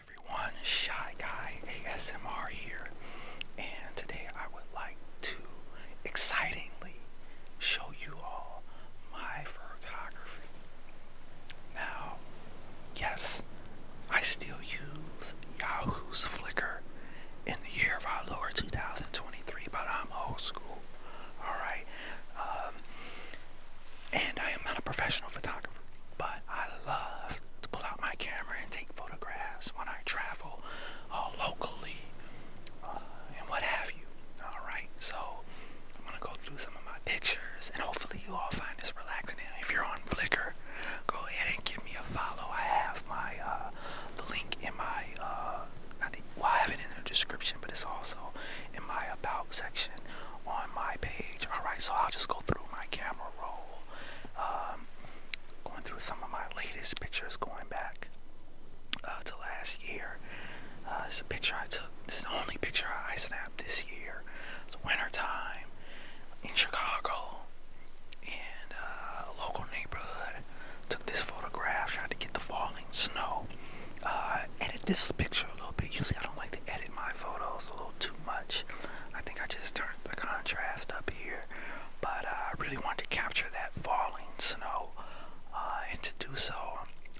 everyone, Shy Guy ASMR here, and today I would like to excitingly show you all my photography. Now, yes, I still use Yahoo's Flickr in the year of our Lord 2023, but I'm old school, alright? Um, and I am not a professional photographer, but I love to pull out my camera and take photographs when I travel all uh, locally uh, and what have you. Alright, so I'm going to go through some of my pictures and hopefully you all find this relaxing. if you're on Flickr, go ahead and give me a follow. I have my uh, the link in my, not the, well, I have it in the description, but it's also in my about section on my page. Alright, so I'll just go through my camera roll. Um, going through some of my latest pictures going back uh, to last year. Uh, this is a picture I took. This is the only picture I snapped this year. It's winter time in Chicago in uh, a local neighborhood. Took this photograph, tried to get the falling snow. I edit this picture a little bit. Usually I don't like to edit my photos a little too much. I think I just turned the contrast up here, but uh, I really wanted to capture that falling snow, uh, and to do so,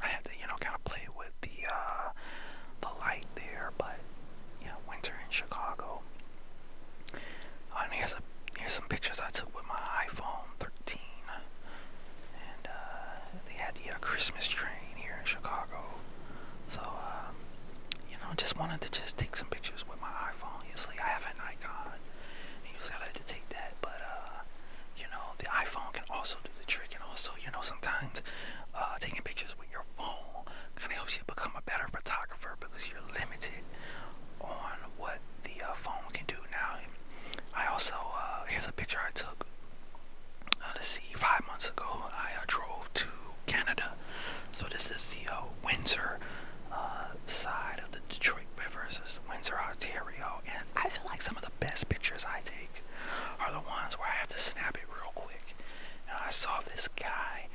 I had to you know kind of play with the uh, the light there. But yeah, winter in Chicago. and here's a here's some pictures I took with my iPhone 13, and they had the Christmas train here in Chicago. So, um, you know, just wanted to just take some pictures with my iPhone. Usually I have an icon, and usually I like to take that, but, uh, you know, the iPhone can also do the trick, and also, you know, sometimes uh, taking pictures with your phone kind of helps you become a better photographer because you're limited on what the uh, phone can do now. I also, uh, here's a picture I took let's see, five months ago, I drove to Canada. So this is the uh, Windsor uh, side of the Detroit River. This Windsor, Ontario, and I feel like some of the best pictures I take are the ones where I have to snap it real quick. I saw this guy.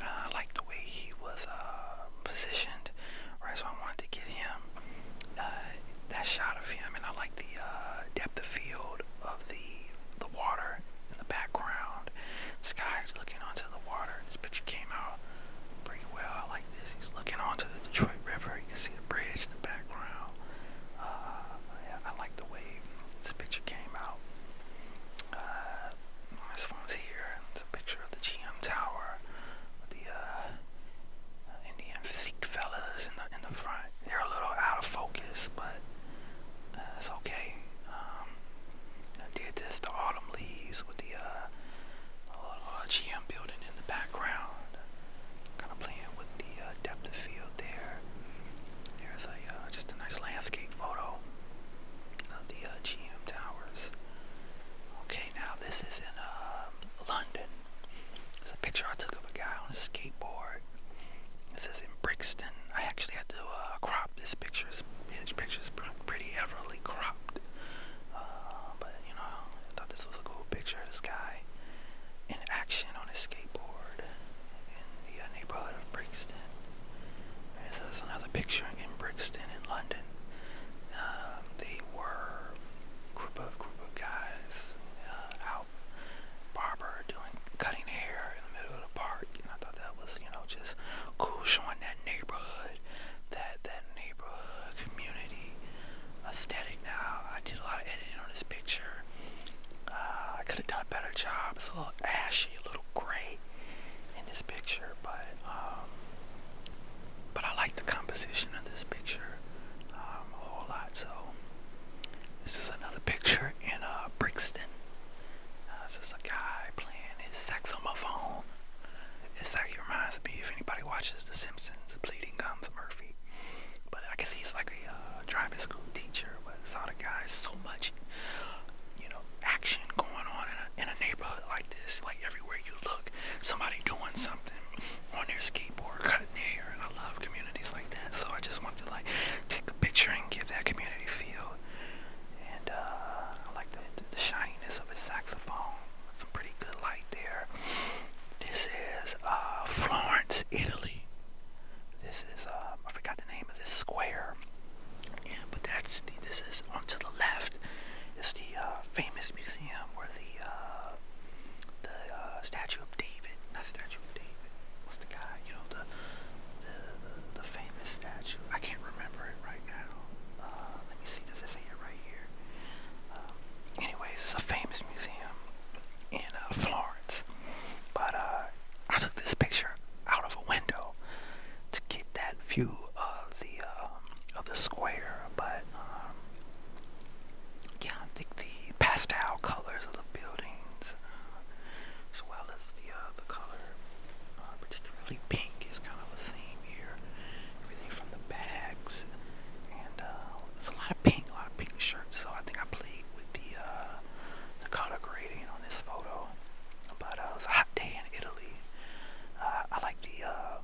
Uh, I liked the way he was positioned, right? So I wanted to get him that shot of him, and I like the depth of field of the the water in the background. This guy's looking onto the water. This picture came out pretty well. I like this. He's looking onto the Detroit River. You can see the bridge in the background. Uh, I like the way this picture came out. Uh, this one's here. It's a picture of the GM Tower. the uh, Indian physique fellas in the in the front. They're a little out of focus, but that's okay. Um, I did this to Autumn Leaves with the uh, GM building in the background. Kind of playing with the uh, depth of field there. There's a uh, just a nice landscape photo of the GM towers. Okay, now this is in London. It's a picture I took of a guy on a skateboard part. It says in Brixton. I actually had to uh, crop this picture. This picture is pretty heavily cropped. Uh, but you know, I thought this was a cool picture of this guy in action on a skateboard in the uh, neighborhood of Brixton. And so another picture in Brixton in London. they were group of group of guys out about barber doing cutting hair in the middle of the park, and I thought that was you know just cool showing that neighborhood, that that neighborhood community aesthetic. Now I did a lot of editing on this picture. Uh, I could have done a better job. It's a little ashy, a little gray in this picture, but um, but I like the composition of this picture um, a whole lot. So this is another picture in uh, Brixton. Uh, this is a guy playing his saxophone. It's like it reminds me if anybody watches The Simpsons, Bleeding Gums Murphy. But I guess he's like a uh, driving school teacher. But it's all the guy, so much, you know, action going on in a neighborhood like this. Like everywhere you look, somebody doing something on their skateboard, cutting and I love communities like that. So I just want to like take a picture and give that community feel. And uh, I like the, the shininess of his saxophone. Some pretty good light there. This is uh, Florence, Italy. This is uh, I forgot the name of this square. but that's the, this is on to the left. Is the famous museum where the the statue of David, not statue. David. What's the guy? You know the the the, famous statue. I can't remember it right now. Uh, let me see. Does it say it right here? Um, anyways, it's a famous museum in uh, Florence. But uh, I took this picture out of a window to get that view of the um, of the square. But um, yeah, I think the pastel colors of the buildings, as well as the uh, the color, uh, particularly pink, is kind of a theme here. Everything from the bags, and uh, a lot of pink, a lot of pink shirts. So I think I played with the uh, the color grading on this photo. But uh, it was a hot day in Italy. Uh, I like the uh,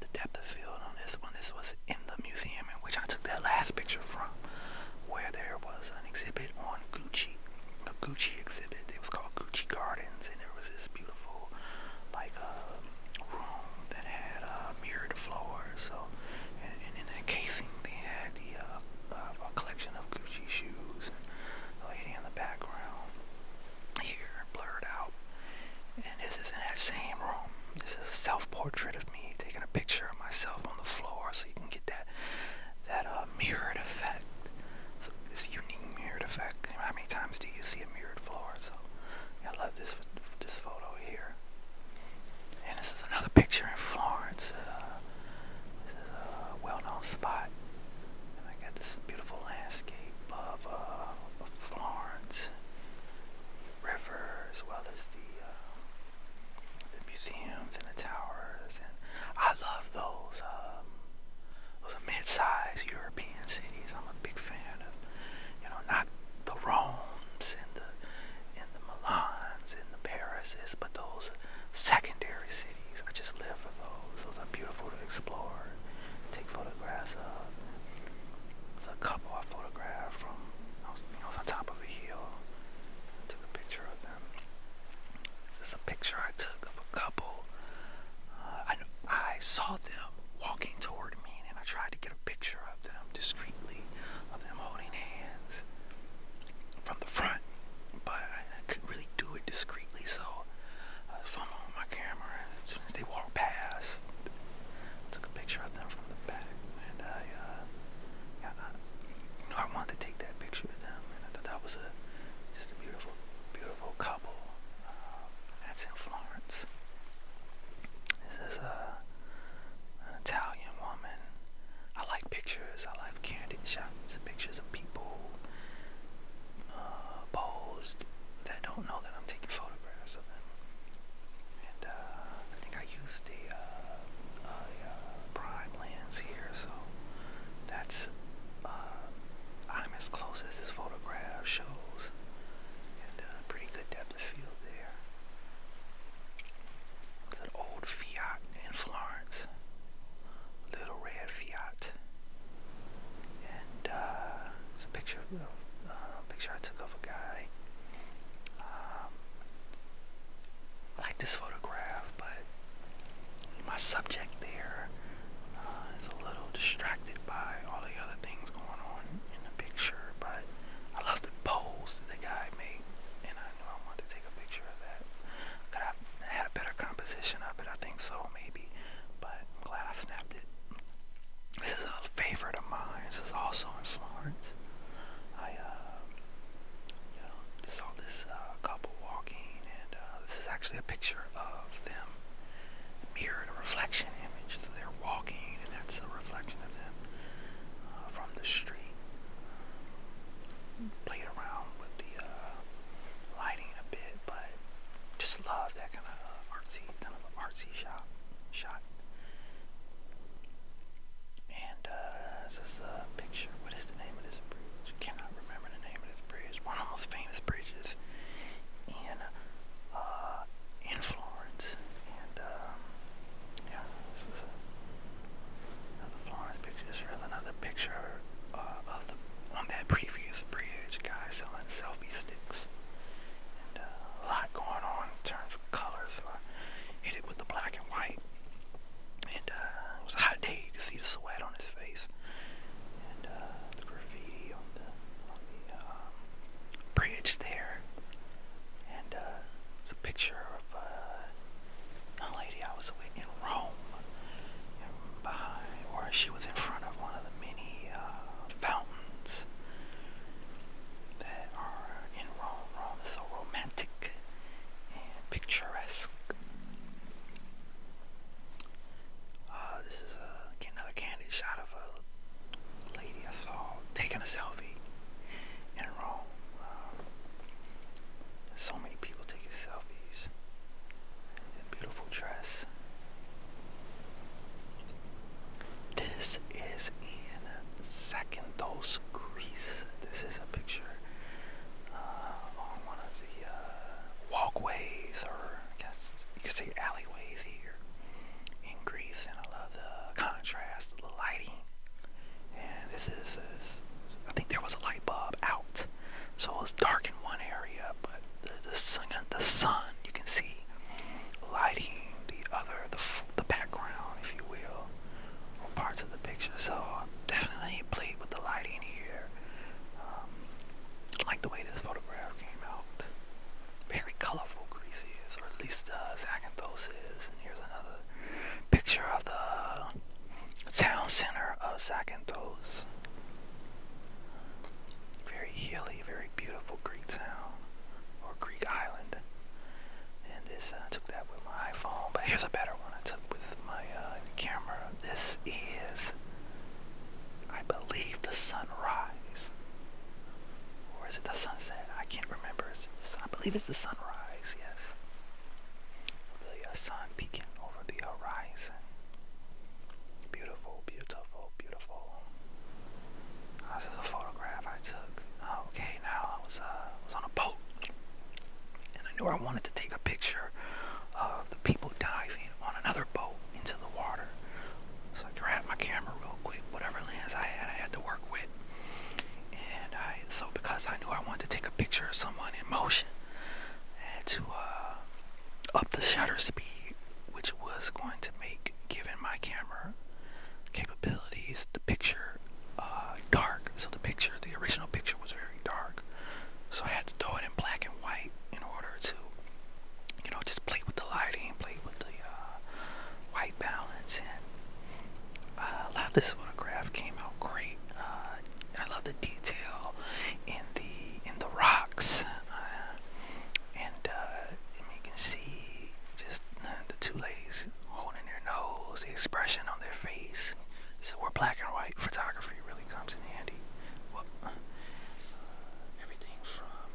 the depth of field on this one. This was in the museum in which I took that last picture from where there was an exhibit on Gucci, a Gucci exhibit. It was called Gucci Gardens, and there was this beautiful, like, uh, room that had a uh, mirrored floor. So, and, in that casing, they had the uh, uh, a collection of Gucci shoes. And the lady in the background here blurred out. And this is in that same room. This is a self-portrait of me taking a picture of myself on the floor so you can get that that uh, mirrored effect. So this unique mirrored effect. How many times do you see a mirrored floor? So I love this this photo here. And this is another picture in Florence. Uh, this is a well-known spot. And I got this beautiful landscape of uh, Florence river as well as the uh, the museums and the towers and I love those um, those mid-sized European cities. I'm a big fan of you know not the Rome's and the and the Milans and the Parises, but those secondary cities. I just live for those. Those are beautiful to explore, take photographs of. There's a couple I photographed from I was I was on top of a hill. took a picture of them. This is a picture I took of a couple. Uh, I, I saw them walking toward me, and I tried to get a picture of them discreetly, of them holding hands from the front, but I, couldn't really do it discreetly, so I was with my camera, as soon as they walked past, I took a picture of them from the back, and I uh, I, I, you know, I wanted to take that picture of them, and I thought that was a just a beautiful, beautiful couple. Uh, that's in Florence. This is a uh, an Italian woman. I like pictures. I like candid shots, pictures of people uh, posed that don't know that I'm taking photographs of them. And uh, I think I used uh, uh, a, prime lens here, so that's I'm as close as this photograph shows, and uh, pretty good depth of field there. It's an old Fiat in Florence, little red Fiat, and it's a picture of picture I took of a guy. Um, I like this photograph, but my subject there uh, a little distracted by all the other things going on in the picture. But I love the pose that the guy made, and I knew I wanted to take a picture of that. Could I have had a better composition of it? I think so, maybe. But I'm glad I snapped it. This is a favorite of mine. This is also in Florence. I uh, saw this uh, couple walking, and uh, this is actually a picture of them Mirror, a reflection image. So they're walking, and that's a reflection of them from the street. Played around with the lighting a bit, but just love that kind of artsy, kind of artsy shot. Shot. And uh, this is a picture. What is the name of this bridge? Cannot remember the name of this bridge. One of the most famous bridges in uh, in Florence. And um, yeah, this is a, another Florence picture. There's another picture uh, of the on that previous bridge, guy selling selfie sticks. And, uh, a lot going on in terms of colors. so I hit it with the black and white. And uh, it was a hot day. You could see the sweat on his face, and uh, the graffiti on the on the um, bridge there. And uh, it's a picture of uh, a lady I was with in Rome, and or she was in front of one of the many uh, fountains that are in Rome so romantic and picturesque. Uh, this is a, uh, another candid shot of a lady I saw taking a selfie in Rome. Uh, so many people taking selfies. beautiful dress. This is in second dose, Greece. This is a picture uh, on one of the uh, walkways, or I guess you could say alleyways here in Greece. And I love the contrast, of the lighting. And this is, I think there was a light bulb out, so it was dark in one area, but the sun, the sun you can see lighting the other, the, the background, if you will, or parts of the picture. So definitely played with the lighting here. Um, like the way this photograph came out. Very colorful Greece is, or at least uh, Zakynthos is. And here's another picture of the town center of Zakynthos. Very hilly, very beautiful Greek town or Greek island. And this uh, I took that with my iPhone, but here's a better one I took with my uh, camera. This is, I believe, the sunrise, or is it the sunset? I can't remember. Is the sun? I believe it's the sunrise. Yes, the sun peeking over the horizon. Beautiful, beautiful, beautiful. this is a photograph I took. okay, now. Uh, I was on a boat, and I knew I wanted to take a picture of the people diving on another boat into the water. So I grabbed my camera real quick, whatever lens I had, I had to work with. And I so because I knew I wanted to take a picture of someone in motion, I had to uh, up the shutter speed, which was going to make given my camera capabilities, the picture uh, dark. So the picture, the original picture, was very dark. So I had to throw it in black and white in order to, you know, just play with the lighting, play with the uh, white balance, and uh, I love this photograph. Came out great. Uh, I love the detail in the in the rocks, uh, and uh, and you can see just the two ladies holding their nose, the expression on their face. So where black and white photography really comes in handy. Uh, everything from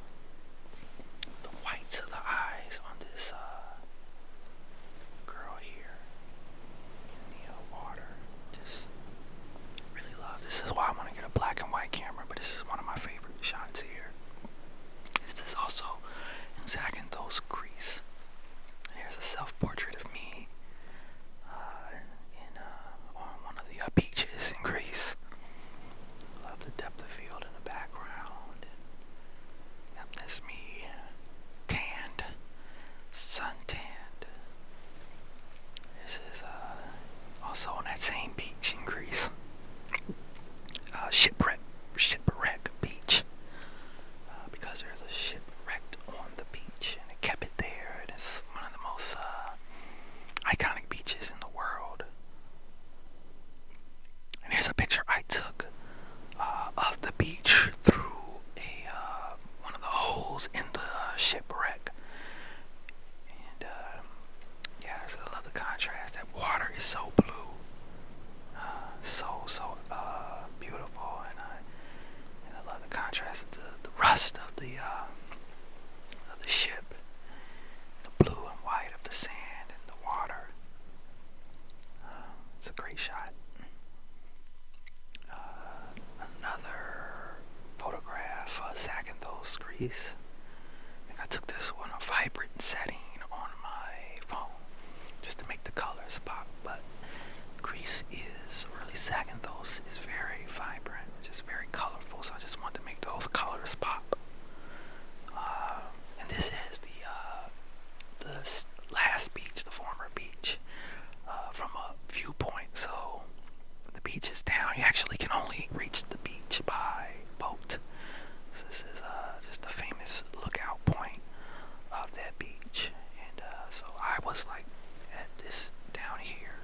the whites of the eyes on this uh, girl here uh, Just really love. This is why I want to get a black and white camera, but this is one of my favorite shots here. This is also in Zagandol's Greece. Here's a self-portrait of me uh, uh, on one of the uh, beaches in Greece. Love the depth of field in the background. that's me, tanned, suntanned. This is also on that same beach in Greece. Uh, shipwreck, shipwreck beach, uh, because there's a shipwrecked on the beach, and it kept it there. And it's one of the most uh, iconic beaches in the world. And here's a picture I took of the beach through a one of the holes in the shipwreck, yeah, I love the contrast. That water is so blue, uh, so so uh, beautiful, uh, and I love the contrast of the, rust of the of the ship, the blue and white of the sand and the water. it's a great shot. another photograph, uh, Saginthos, Greece. I think I took this one, a vibrant setting on my phone just to make the colors pop. But grease is really second; those. is very vibrant, just very colorful. So I just want to make those colors pop. Uh, and this is the uh, the last beach, the former beach, uh, from a viewpoint. So the beach is down. You actually can only reach the beach by boat. So this is uh, just a famous lookout point of that beach. And uh, so I was like at this down here.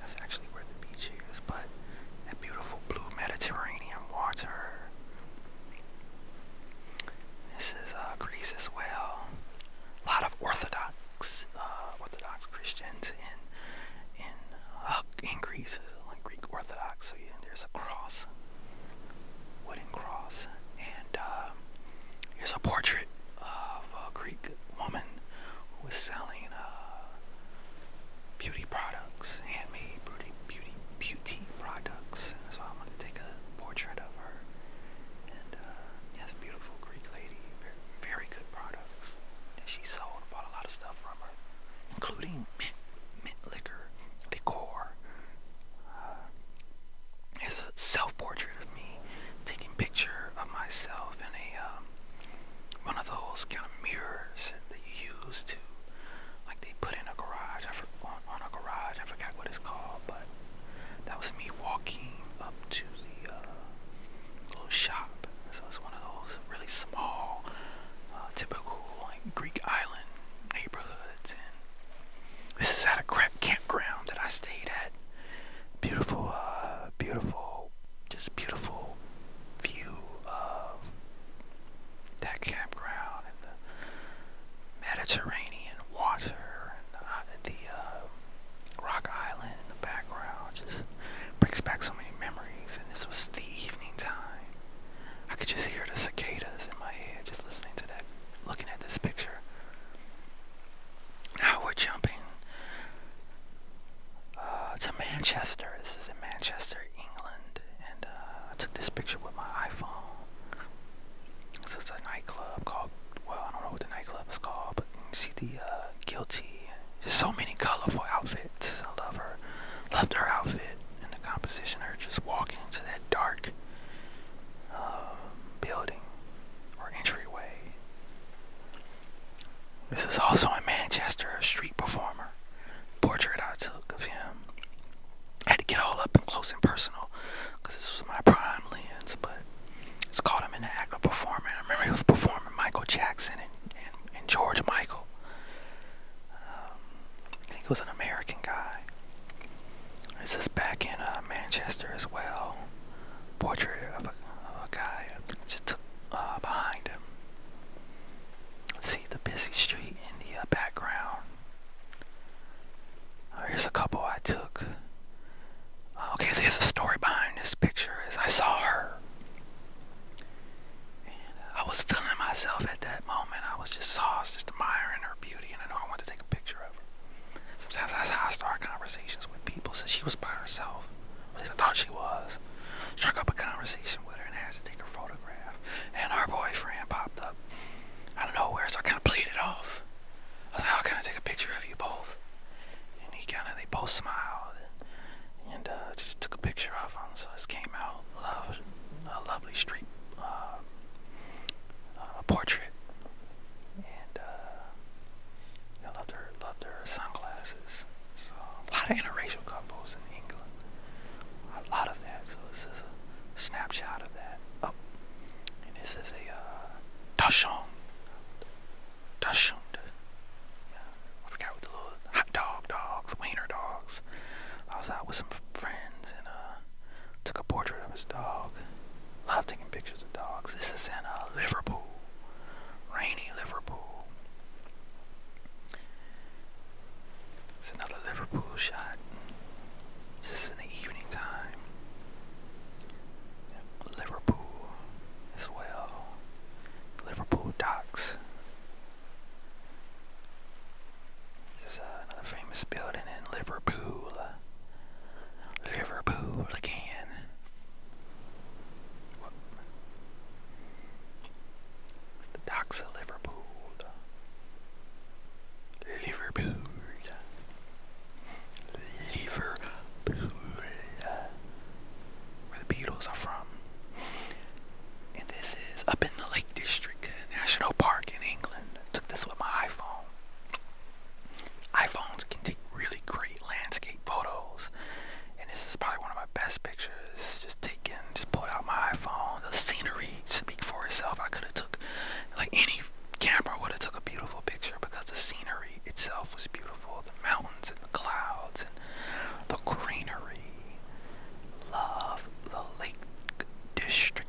That's actually where the beach is, but that beautiful blue Mediterranean water. This is uh, Greece as well. A lot of Orthodox, uh, Orthodox Christians in in uh, in Greece, Greek Orthodox, so there's a cross, wooden cross, and there's um, a portrait of a Greek woman who was selling uh, beauty products, handmade beauty, beauty, beauty products. So I wanted to take a portrait of her, and uh, yes, beautiful Greek lady, very, very good products. And she sold, bought a lot of stuff from her, including mint, mint liquor decor. Uh, it's a self-portrait of me taking picture of myself in a um, one of those kind of mirrors that you use to like they put in a garage I for, on, on a garage. I forgot what it's called, but that was me walking up to the uh, little shop. So it's one of those really small, uh, typical Greek island neighborhoods. And this is at a camp campground that I stayed at. Beautiful, uh, beautiful, just beautiful view of that campground and the Mediterranean water and uh, the, rock island in the background. Just brings back so many memories. And this was the evening time. I could just hear the cicadas in my head just listening to that, looking at this picture. Now we're jumping uh, to Manchester. This is in Manchester, England. And uh, I took this picture with my iPhone. This is a nightclub called, well, I don't know what the nightclub is called, but you see the uh, guilty. Just so many colorful outfits. I love her. Loved her outfit it in the composition or just walking into that dark um, building or entryway. This is also a Manchester, street performer portrait I took of him. I had to get all up and close and personal because this was my prime lens, but it's called him an actor performer. I remember he was performing Michael Jackson and George Michael. Um, I think it was an American guy. This is back in uh, Manchester as well. Portrait of a, of a guy just took uh, behind him. See the busy street in the uh, background. Uh, here's a couple I took. okay, so there's a story behind this picture. as I saw her. And uh, I was feeling myself at that moment. I was just sauced, just admiring her beauty, and I know I wanted to take a picture of her. Sometimes that's how I start conversations with people. So she was by herself. At least I thought she was. Struck up a conversation with her and asked to take her photograph. And her boyfriend popped up out of nowhere, so I kind of played it off. I was like, how can I take a picture of you both? And he kind of, they both smiled. And and uh, just took a picture of them. So this came out love, a lovely street uh, uh, a portrait, and uh, I loved her, loved her sunglasses. So a lot of interracial couples in England, a lot of that. So this is a snapshot of that. Oh, and this is a uh, dashon, I forgot what the little hot dog dogs, wiener dogs. I was out with some friends and uh, took a portrait of his dog. Love taking pictures of dogs. This is in uh, Liverpool, rainy Liverpool. It's another Liverpool shot. This is in the evening time. Liverpool as well. Liverpool docks. This is another famous building in Liverpool. Liverpool again. the docks of Liverpool. Liverpool. Liverpool where the Beatles are from. And this is up in the Lake District, National Park in England. I took this with my iPhone. iPhones can take really great landscape photos. And this is probably one of my best pictures. Just taken, just pulled out my iPhone. The scenery speak for itself. I could have took like any camera would have took a beautiful picture because the scenery itself was beautiful. The mountains and the clouds and the greenery love the Lake District.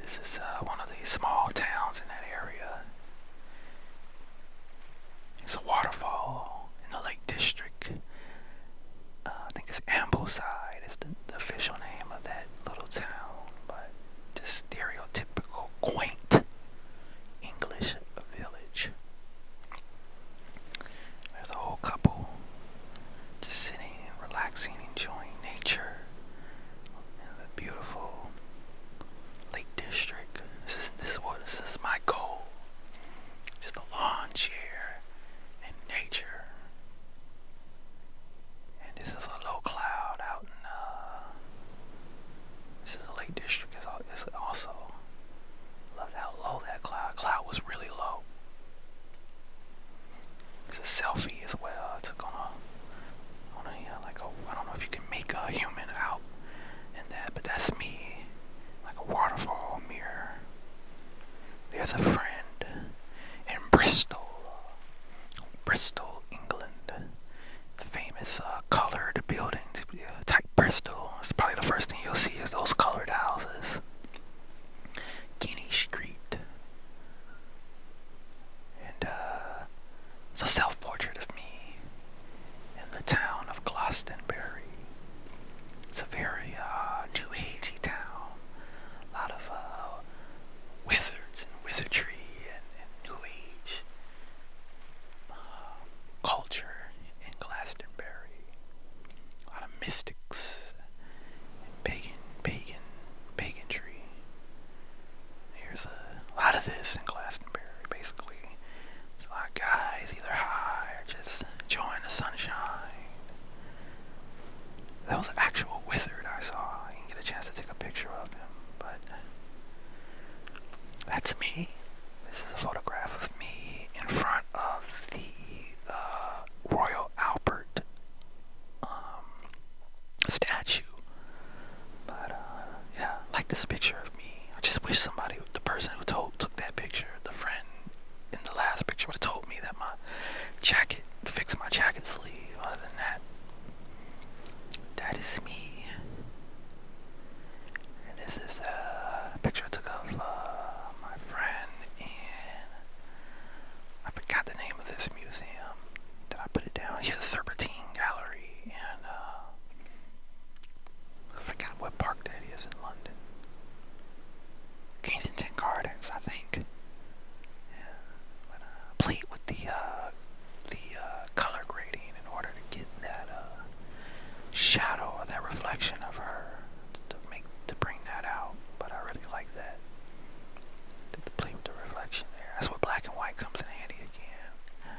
This is uh, one of the small towns in that area. It's a waterfall in the Lake District. Uh, I think it's Ambleside is the, the official name of that little town, but just stereotypical quaint English village. There's a whole couple just sitting and relaxing, enjoying nature in the beautiful Lake District. This is this what this is my goal. Just a lawn chair and nature. And this is a low cloud out in uh, this is the Lake District. This Is also Loved how low that cloud. Cloud was really low. It's a selfie as well. It's gonna, a, on a like a. I don't know if you can make a human out in that, but that's me. Like a waterfall mirror. There's a friend in Bristol, Bristol, England. The famous uh, colored buildings type Bristol. It's probably the first thing you'll see is those colored houses. Guinea Street. And uh, it's a self-portrait of me in the town of Glastonbury. It's a very uh, new agey town. A lot of uh, wizards and wizardry and, new age. Um, culture in Glastonbury. A lot of mystics, and pagan, pagan, paganry. There's a lot of this in Glastonbury, basically. There's a lot of guys either high or just enjoying the sunshine. That was an actual wizard I saw. I didn't get a chance to take a picture of him, but that's me. This is a photograph of me in front of the uh, Royal Albert um, statue. But uh, yeah, I like this picture of me. I just wish somebody, the person who took that picture, the friend in the last picture, would have told me that my jacket, fixed my jacket sleeve. Other than that, that is me. And this is a picture I took of uh, my friend, and I forgot the name of this museum. Did I put it down? Yeah, the Serpentine Gallery, and uh, I forgot what park that is in London. Kensington Gardens, I think. Uh, played with the the color grading in order to get that shadow or that reflection of her to make to bring that out. But I really like that. the play with the reflection there. That's where black and white comes in handy again.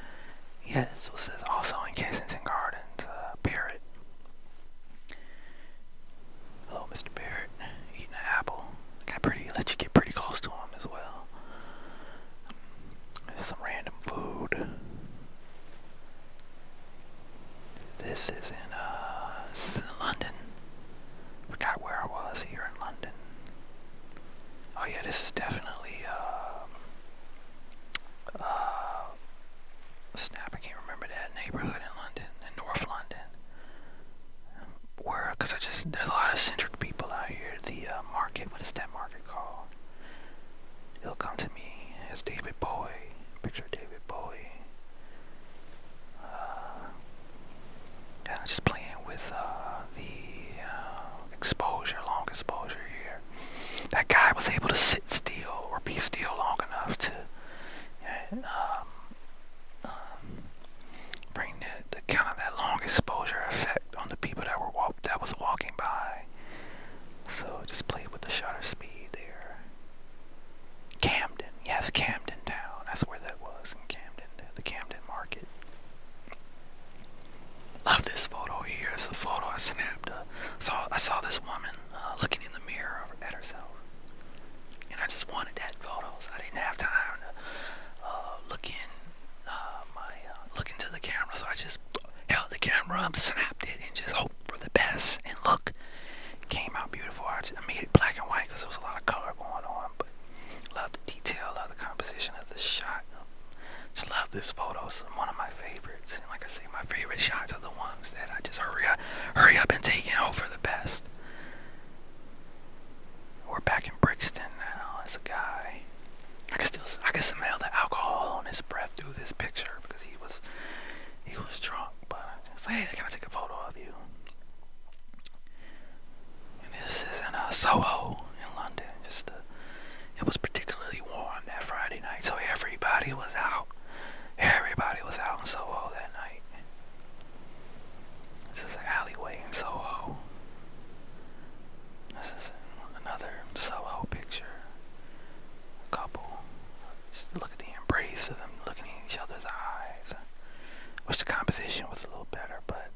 Yes, it says also in Kensington Gardens, uh, Barrett. Hello, Mr. Barrett. Eating an apple. Got pretty. Let you get pretty close to him as well. There's some random food. This is in, uh, this is in London. Forgot where I was here in London. Oh yeah, this is definitely, uh, uh, snap, I can't remember that neighborhood in London, in North London. Where, cause I just, there's a lot of centric people out here. The, uh, market, what is that market called? he will come to me as David Bowie. Picture David Bowie. Uh, just playing with uh, the uh, exposure, long exposure here. That guy was able to sit still or be still long enough to um, um, bring the, kind of that long exposure effect on the people that were that was walking by. So just play with the shutter speed there. Camden, yes, Camden Town. That's where that was in Camden, the Camden Market. Love this photo here. It's a photo I snapped. Uh, saw I saw this woman uh, looking in the mirror at herself, and I just wanted that photo. So I didn't have time to uh, look in uh, my look into the camera, so I just held the camera snapped it, and just hope for the best. And look, it came out beautiful. I, just, made it black and white because there was a lot of color going on. But love the detail, love the composition of the shot. Just love this photo. It's one of my favorites. And like I say, my favorite shots are the ones that I just hurry up, hurry up and take it hope for the best. We're back in Brixton now. As a guy I can still I can smell the alcohol on his breath through this picture because he was he was drunk. But I just hey, can I take a photo of you? this is in uh, Soho in London. Just uh, it was particularly warm that Friday night, so everybody was out. Everybody was out in Soho that night. This is an alleyway in Soho. This is another Soho picture. couple. Just look at the embrace of them looking in each other's eyes. Wish the composition was a little better, but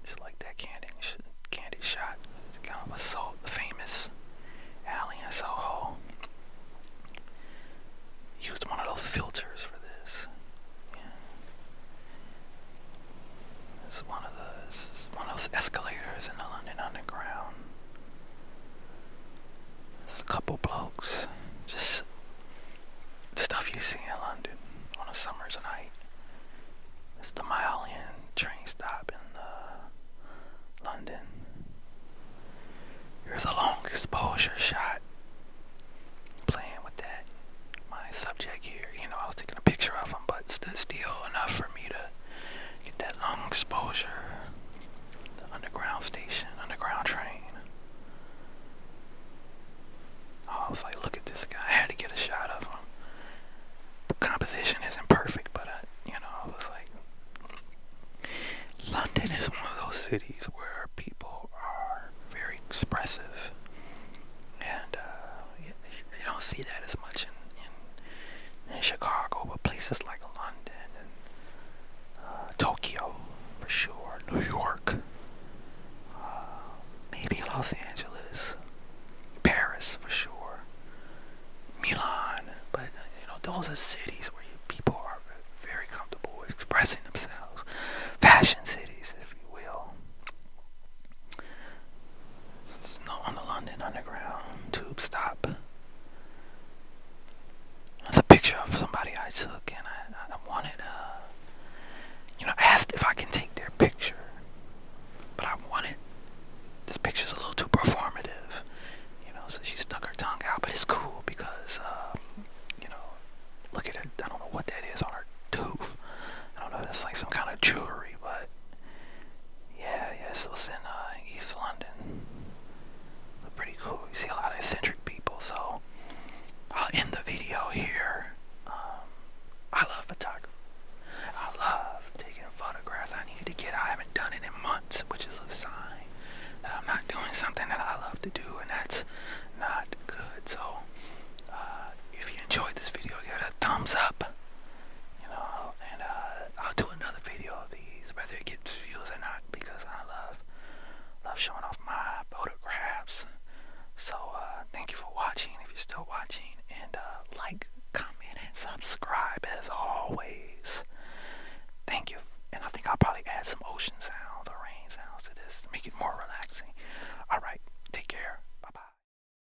it's like that candy, candy shot. It's kind so famous alley in Soho. Used one of those filters for this. It's one of those one of those escalators in the London Underground. It's a couple blokes. Just stuff you see in London on a summer's night. It's the Mile End train stop in uh, London. Here's a long exposure shot. Playing with that. My subject here, you know, I was taking a picture of him, but still enough for me to Get that long exposure. underground station, underground train. I was like, look at this guy. I had to get a shot of him. The composition isn't perfect, but you know, I was like, London is one of those cities where people are very expressive, and uh, you, don't see that as much in, in, Chicago, but places like London and uh, Tokyo for sure, New York, uh, maybe Los Angeles, Paris for sure, Milan. But uh, you know, those are cities where people are very comfortable expressing themselves. Fashion cities, if you will. It's not on the London Underground tube stop. It's a picture of somebody I took, and I, wanted, uh, you know, I asked if I can take their picture, but I wanted this picture's a little too performative, you know. So she stuck her tongue out, but it's cool because, um, you know, look at it. I don't know what that is on her tooth. I don't know. It's like some kind of jewelry, but yeah, yes, so it's in uh, East London. pretty cool. You see a lot of eccentric people. So I'll end the video here. Um, I love photography. I love taking photographs. I need to get. I haven't done it in months, which is a sign that I'm not doing something that I love to do, and that's not good. So uh, if you enjoyed this video, give it a thumbs up you know, and uh, I'll do another video of these, whether it gets views or not, because I love love showing off my photographs. So uh, thank you for watching, if you're still watching, and uh, like, comment, and subscribe as always. Thank you, and I think I'll probably add some ocean sounds or rain sounds to this to make it more relaxing. All right, take care. Bye bye.